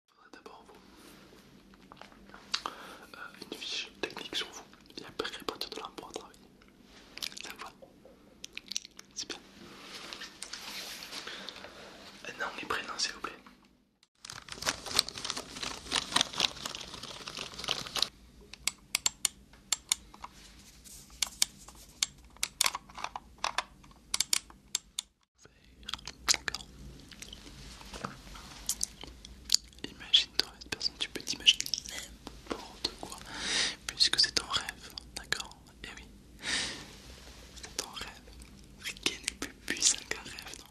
Je voudrais d'abord vous euh, une fiche technique sur vous et a pas partir de là travailler. Ça va C'est bien. Non, les prénoms s'il vous plaît. D'accord Imagine-toi cette personne, tu peux t'imaginer n'importe quoi, puisque c'est ton rêve, d'accord Et eh oui, c'est ton rêve. Rien n'est plus puissant qu'un rêve, non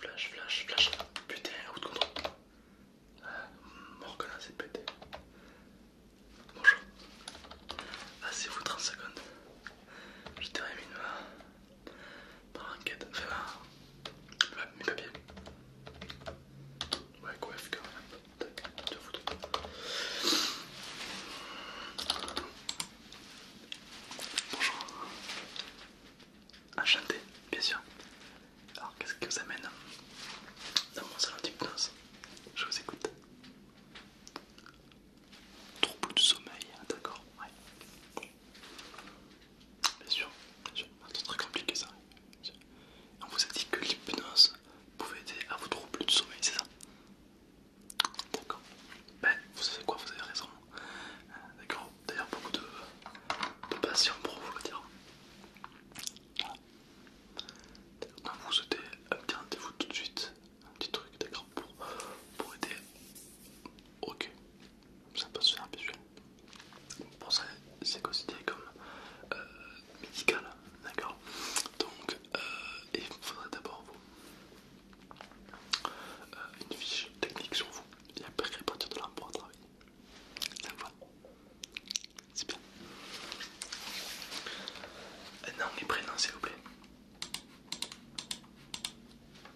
Flash, flash, flash. Putain, route contre. Ah, Morgan, c'est pété. Bonjour. Ah, c'est vous 30 secondes. Je termine noir, T'inquiète, fais ma... mes papiers. Ouais, quoi, quand t'inquiète, tu foutre. Bonjour. Enchanté, bien sûr. Alors, qu'est-ce qui vous amène dans mon salon d'hypnose Je vous écoute. Trouble de sommeil, hein, d'accord, ouais. Bien sûr, bien sûr. c'est très compliqué ça. On vous a dit que l'hypnose pouvait aider à vous plus de sommeil, c'est ça D'accord. Ben, vous savez quoi, vous avez raison. Euh, d'accord. D'ailleurs, beaucoup de, de patients pour vous le dire. Voilà. vous vous souhaitez un petit rendez-vous tout de suite, un petit truc, d'accord, pour aider. Ok, ça peut se faire habituel. Pour ça, c'est considéré comme euh, médical, d'accord Donc, il euh, faudrait d'abord euh, une fiche technique sur vous, et après, a pas de de on travailler. Ça va C'est bien. Nom et prénom, s'il vous plaît.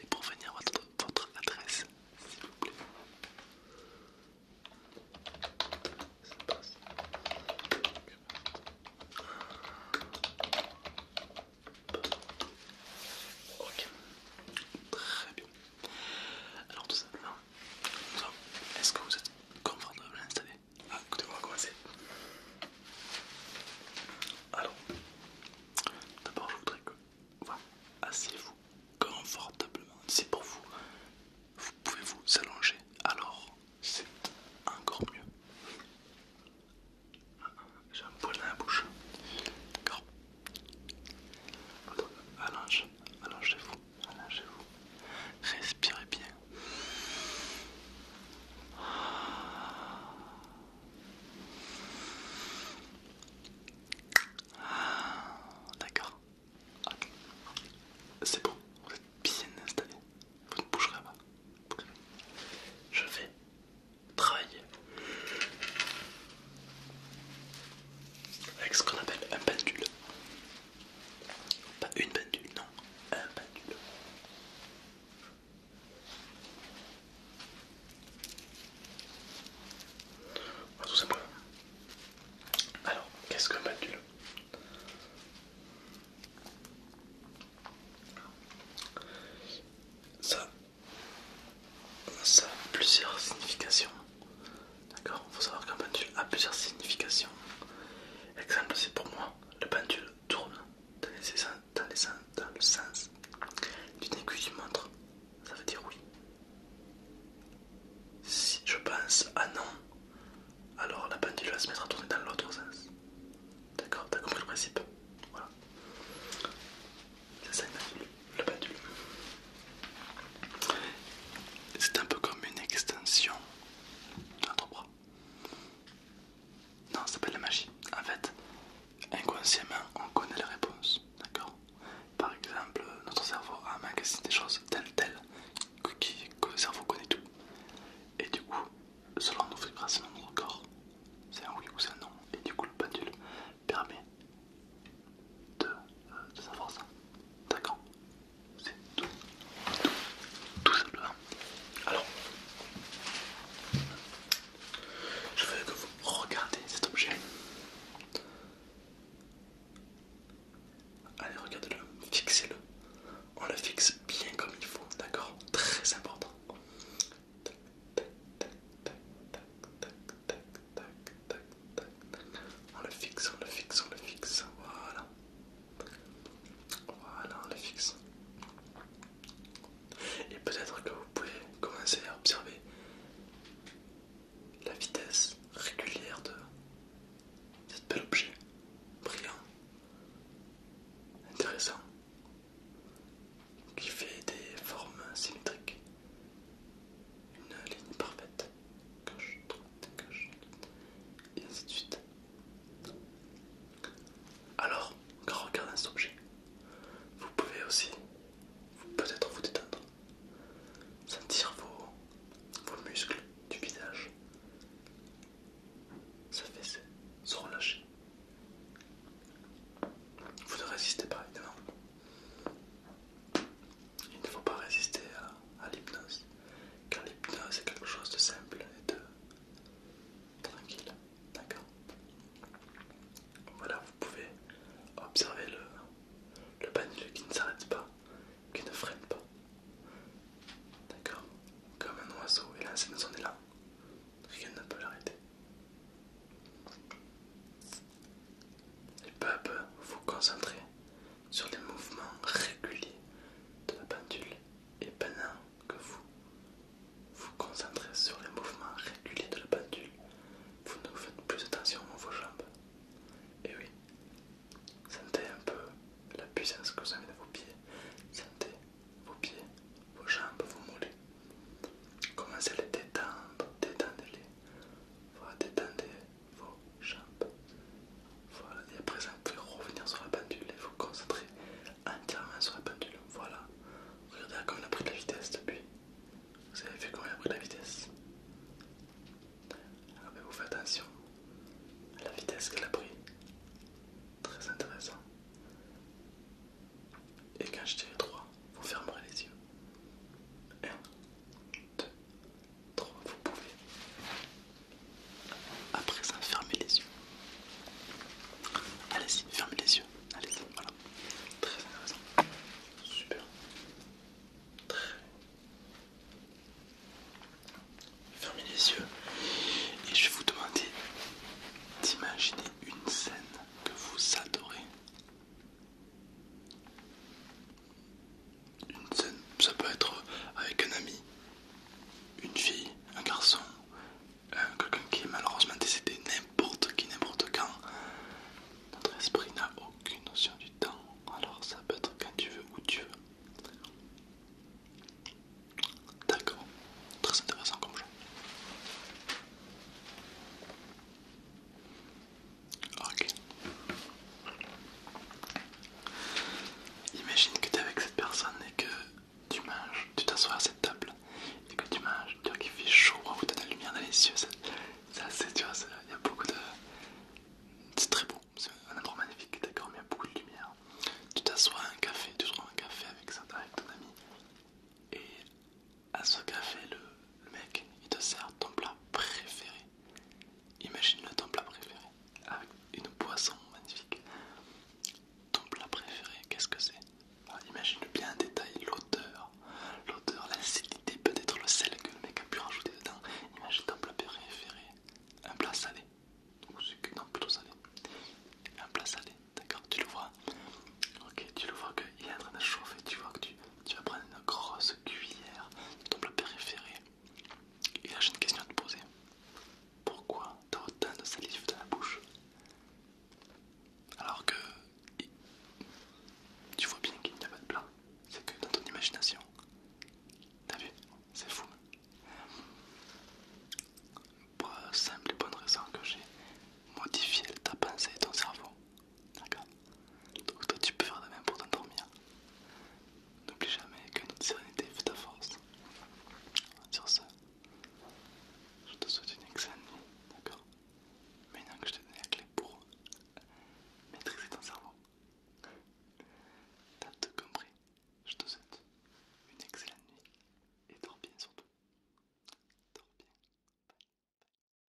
Et pour venir votre, adresse, s'il vous plaît. Ok, très bien. Alors tout ça, ça, est-ce que vous êtes confortable à l'installer ah, écoutez on va commencer. Alors, d'abord, je voudrais que. Voilà, asseyez-vous confortablement. C'est pour vous. Vous pouvez vous allonger. Alors, c'est encore mieux. J'ai un poil dans la bouche. D'accord. Allongez-vous, allongez-vous. Respirez bien. Ah, d'accord. C'est bon, vous êtes bien installé. Vous ne bougerez pas. Je vais travailler avec ce qu'on appelle un pendule. Pas une pendule, non, un pendule. tout simplement. Alors, qu'est-ce qu'un pendule ça, ça a plusieurs significations. D'accord Il faut savoir qu'un pendule a plusieurs significations. Exemple, c'est pour moi la pendule tourne dans, les, dans le sens d'une aiguille du montre. Ça veut dire oui. Si je pense à non, alors la pendule va se mettre à tourner dans l'autre sens. D'accord T'as compris le principe Voilà. C'est ça la pendule. C'est un peu comme une extension de notre bras. Non, ça s'appelle la magie. En fait, inconsciemment, on connaît les réponses, d'accord Par exemple, notre cerveau a magasin des choses telles, telles, que le cerveau connaît tout. Et du coup, selon nos vibrations dans notre corps, c'est un oui ou c'est un non. Et du coup, le pendule permet de euh, savoir ça. D'accord c'est tout, tout, tout Alors, je veux que vous regardez cet objet. Allez, regardez le fixez-le. On le fixe bien comme il faut, d'accord Très important. tac, tac, tac, tac, tac, tac, tac, tac, tac. On le fixe, on le fixe, on le fixe. Voilà. Voilà, on les fixe. Et peut-être que vous pouvez commencer à observer la vitesse régulière de cet bel objet, brillant, intéressant, qui fait des formes symétriques, une ligne parfaite, gauche, droite, gauche, et ainsi de suite. Alors, en regardant cet objet, vous pouvez aussi peut-être vous détendre, sentir vos, vos muscles du visage s'affaisser, se relâcher. Vous ne résistez pas évidemment. Il ne faut pas résister à à, l'hypnose. Car l'hypnose est quelque chose de simple et de tranquille. D'accord Voilà, vous pouvez observer le, le qui ne s'arrête pas, qui ne freine pas. D'accord Comme un oiseau, et là, c'est nous est là. Rien ne peut l'arrêter. peu à peu, vous concentrer sur les mouvements réguliers de la pendule et pendant que vous vous concentrez sur les mouvements réguliers de la pendule, vous ne faites plus attention à vos jambes. Et oui, sentez un peu la puissance que vous avez dans vos pieds, sentez vos pieds, vos jambes, vos mollets. Commencez à les détendre, détendez-les, voilà, détendez vos jambes. Voilà, et à présent, vous pouvez revenir sur la pendule et vous concentrer entièrement sur la pendule. Voilà, regardez comme on a pris de la vitesse depuis. Vous avez vu comment il a pris de la vitesse Alors, ah, vous faites attention à la vitesse qu'elle a pris. Très intéressant. Et quand je dirai 3, vous fermerez les yeux. 1, 2, Trois, vous pouvez. Après ça, fermer les yeux. Allez-y, fermez les yeux. Allez-y, voilà. Très intéressant. Super. Très. Fermez les yeux. Et je vais vous demander d'imaginer une scène que vous adorez. Une scène, ça peut être avec un ami, une fille, un garçon, euh, quelqu'un qui est malheureusement décédé, n'importe qui, n'importe quand. Notre esprit n'a aucune notion du temps, alors ça peut être quand tu veux, où tu veux. D'accord, très intéressant comme jeu. Ok. Imagine que tu es avec cette personne et que tu manges, tu t'assois à cette table et que tu manges, tu vois qu'il fait chaud, tu de la lumière dans les yeux, c'est assez, tu vois, il y a beaucoup de. C'est très beau, c'est un endroit magnifique, d'accord, mais il y a beaucoup de lumière. Tu t'assois à un café, tu trouves un café avec, ça, avec ton ami et à ce café, le mec il te sert ton plat préféré imagine ton plat préféré avec ah une poisson magnifique. Ton plat préféré, qu'est-ce que c'est ah, imagine bien en détail, l'odeur, l'odeur, l'acidité, peut-être le sel que le mec a pu rajouter dedans. Imagine ton plat préféré, un plat salé. Ou non, plutôt salé. Un plat salé, d'accord Tu le vois Ok, tu le vois qu'il est en train de chauffer, tu vois que tu, tu vas prendre une grosse cuillère de ton plat préféré et là, j'ai une question à te poser. Pourquoi t'as autant de salive dans la bouche alors que tu vois bien qu'il n'y a pas de plat, c'est que dans ton imagination, t'as vu, c'est fou. Pour la simple et bonne raison que j'ai modifié ta pensée et ton cerveau, d'accord Donc toi tu peux faire de même pour t'endormir. N'oublie jamais que notre sérénité fait ta force. Sur ce, je te souhaite une excellente nuit, d'accord Maintenant que je te donne la clé pour maîtriser ton cerveau. T'as tout compris. Je te souhaite une excellente nuit et dors bien surtout. Dors bien.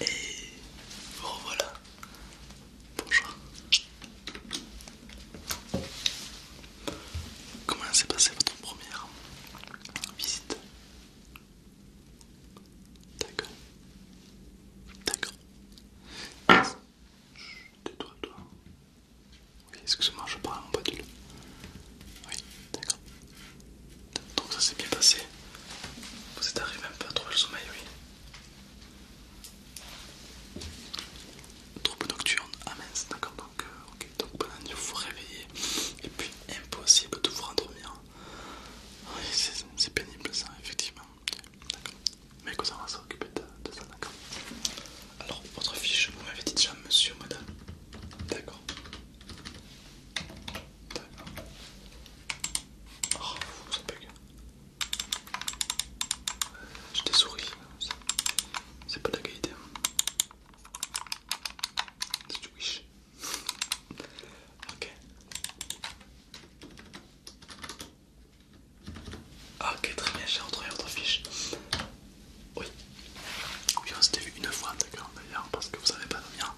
Et voilà. Bonjour. Comment s'est passée votre première visite D'accord. D'accord. Tais-toi, toi. Oui, excusez moi je parle à mon d'huile. Oui, d'accord. Donc ça s'est bien passé. Vous êtes arrivé un peu à trouver le sommeil, oui. Trouble nocturne, amen, ah d'accord, donc, euh, ok donc pendant la vous vous réveillez et puis impossible de vous rendormir. Oui, c'est pénible ça, effectivement. D'accord. Mais que ça va s'occuper de ça alors, votre fiche, vous m'avez dit déjà monsieur, madame. D'accord. D'accord. Oh, ça bug. J'ai des souris, c'est pas de la qualité. Hein. Si tu wish. Ok. Ah, ok, très bien, j'ai retrouvé votre fiche. Oui. Oui, on s'était vu une fois, d'accord, d'ailleurs, parce que vous savez pas dormir.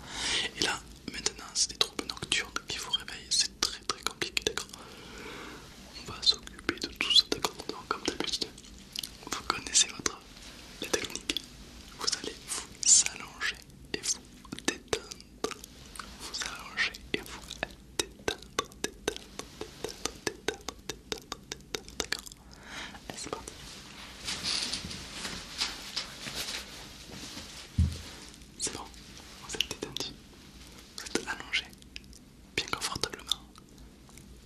Et là, maintenant, c'est des troubles nocturnes qui vous réveillent. C'est très très compliqué, d'accord. On va s'occuper de tout ça, d'accord. Donc, comme d'habitude, vous connaissez votre la technique. Vous allez vous allonger et vous détendre. Vous allonger et vous détendre, détendre, détendre, détendre, détendre, détendre, détendre, d'accord. C'est parti. C'est bon, vous êtes détendu, vous êtes allongé, bien confortablement.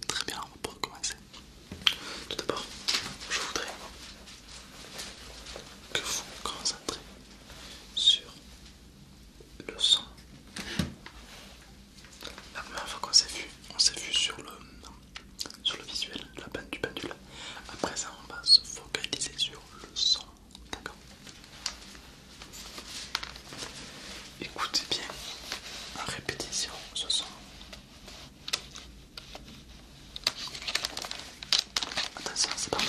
Très bien, on va commencer. Tout d'abord, je voudrais que vous vous concentrez sur le son la première fois qu'on s'est vu, on s'est vu sur le, visuel la du pendule. Après ça, on va se focaliser sur le son. D'accord Écoutez bien en répétition ce son. Attention, c'est parti.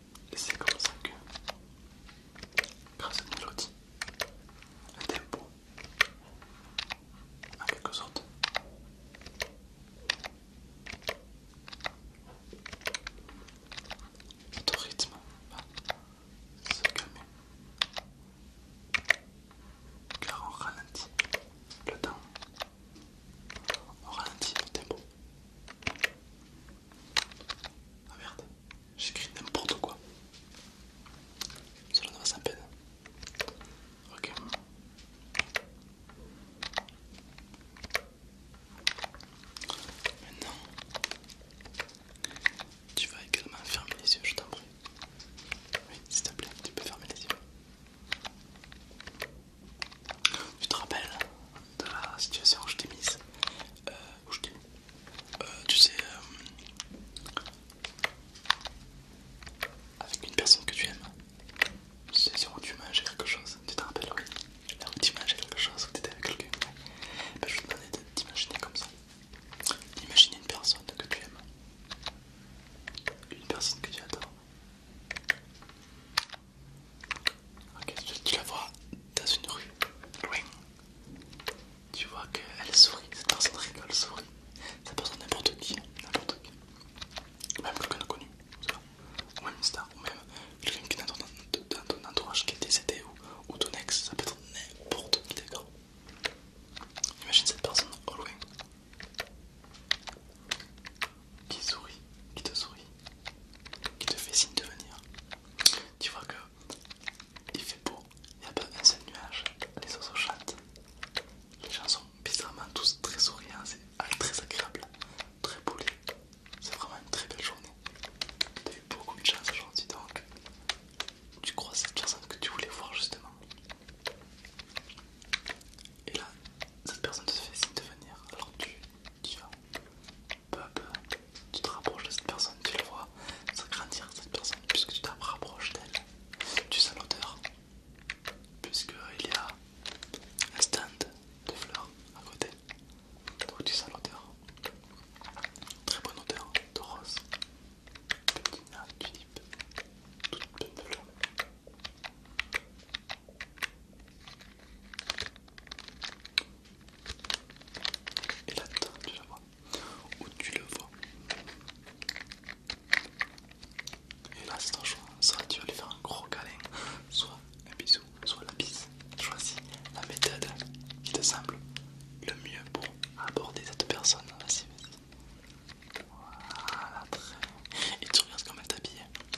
Et c'est comme ça que, grâce à une mélodie, tempo, en quelque sorte, notre rythme va se car on ralentit le temps, on ralentit le tempo. Ah merde, j'écris n'importe quoi. Cela ne va sans peine. Ok. Maintenant, tu vas également fermer les yeux, je t'en prie. Oui, s'il te plaît, tu peux fermer les yeux. Tu te rappelles dans la situation où je t'ai mise. Euh, où je t'ai euh, tu sais, euh, avec une personne que tu aimes, c'est sûr où tu mangeais quelque chose, tu te rappelles, oui Là où tu mangeais quelque chose, où tu étais avec quelqu'un, ben, je vais te demander d'imaginer comme ça. Imagine une personne que tu aimes, une personne que tu adores, Ok, tu la vois dans une rue, loin. Tu vois qu'elle sourit, cette personne rigole, sourit. Cette personne n'importe qui, n'importe qui. Même quelqu'un de connu, ou même une star, ou même quelqu'un qui est dans ton, ton entourage qui est décédé ou, ou ton ex, ça peut être n'importe qui, d'accord Imagine cette personne au loin qui sourit, qui te sourit, qui te fait signe de venir. Tu vois que il fait beau, il n'y a pas un seul nuage, les oiseaux chantent, les gens sont bizarrement tous très souriants, c'est ah, très agréable, très poli. C'est vraiment une très belle journée. T'as eu beaucoup de chance aujourd'hui donc tu crois cette personne que tu voulais voir justement. Et là, cette personne te fait signe de venir, alors tu, tu vas tu te rapproches de cette personne, tu le vois s'agrandir cette personne, puisque tu te rapproches d'elle. Tu sens l'odeur, puisqu'il y a un stand de fleurs à côté. Donc tu sens l'odeur, très bonne odeur de rose, de tulipe, toute de fleurs. Et là tu la vois Ou tu le vois Et là c'est ton choix Soit tu vas lui faire un gros câlin Soit un bisou, soit la bise Choisis la méthode qui te semble le mieux pour aborder cette personne Vas-y, vas-y Voilà, très Et tu regardes comment elle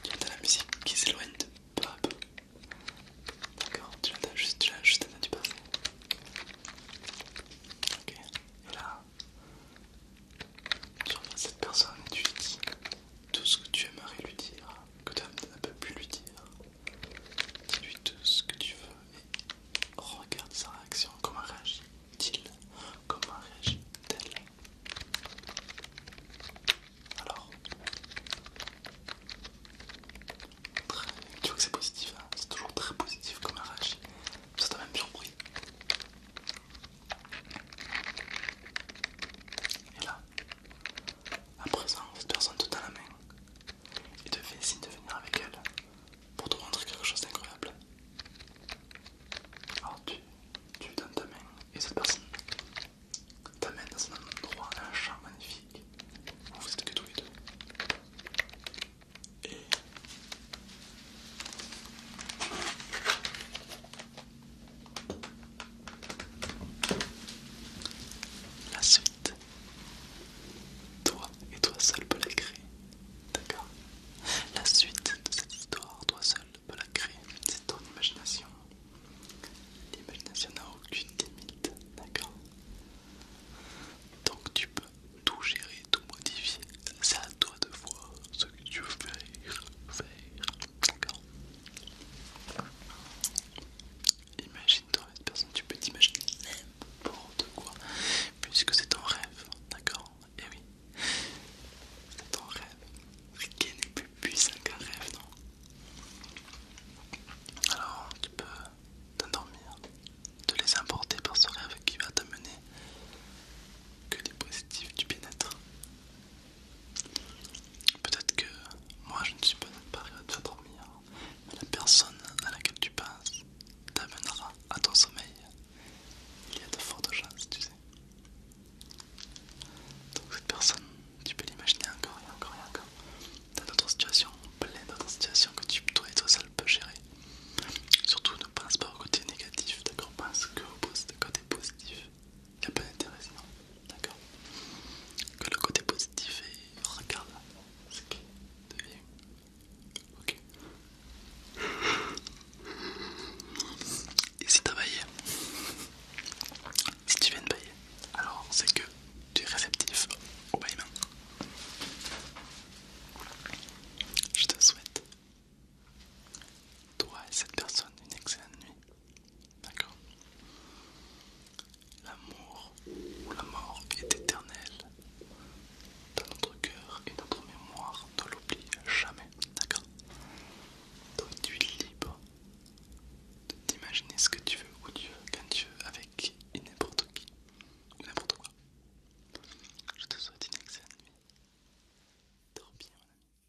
Tu entends la musique qui s'éloigne de peu D'accord, tu l'entends juste, tu l'as juste entendu passer. Ok, et là, tu regardes cette personne et tu lui dis tout ce que tu aimerais lui dire, que tu ne peux plus lui dire. Dis-lui tout ce que tu veux et regarde sa réaction, comment elle réagit. Comment réagit Alors Tu vois que c'est positif, hein c'est toujours très positif comme elle réagit. Ça t'a même surpris. Et là, à présent, cette personne te tend la main et te fait signe de venir avec elle pour te montrer quelque chose d'incroyable. Alors tu, donnes ta main et cette personne t'amène dans un endroit, un champ magnifique On vous êtes que tous les deux. Et la suite, toi et toi seul peux l'écrire, d'accord la suite de cette histoire, toi seul peux la créer, c'est ton imagination. L'imagination n'a aucune limite, d'accord Donc tu peux tout gérer, tout modifier, c'est à toi de voir ce que tu veux faire, faire, d'accord Imagine-toi cette personne, tu peux t'imaginer n'importe quoi, puisque c'est ton rêve, d'accord et eh oui. Ton rêve, rien n'est plus puissant qu'un rêve, non Alors tu peux t'endormir, te laisser emporter par ce rêve qui va t'amener que des positifs du bien-être. Peut-être que moi je ne suis pas capable de t'endormir, mais la personne à laquelle tu penses t'amènera à ton sommeil il y a de fortes chances, tu sais. Donc cette personne, tu peux l'imaginer encore et encore et encore. T'as d'autres situations, plein d'autres situations que tu, toi et toi seul peut gérer. Surtout ne pense pas au côté négatif, d'accord Pense que au côté positif. Il n'y a pas d'intérêt sinon, d'accord Que le côté positif et regarde ce qui devient Ok. Et si t'as baillé Si tu viens de bailler, alors c'est que tu es réceptif au baillement. Je te souhaite, toi et cette personne, une excellente nuit. D'accord L'amour ou la mort est éternel dans notre cœur et notre mémoire, ne l'oublie jamais, d'accord Donc tu es libre d'imaginer ce que tu veux, ou tu veux, quand tu veux, avec n'importe qui, ou n'importe quoi. Je te souhaite une excellente nuit. Dors bien, mon ami.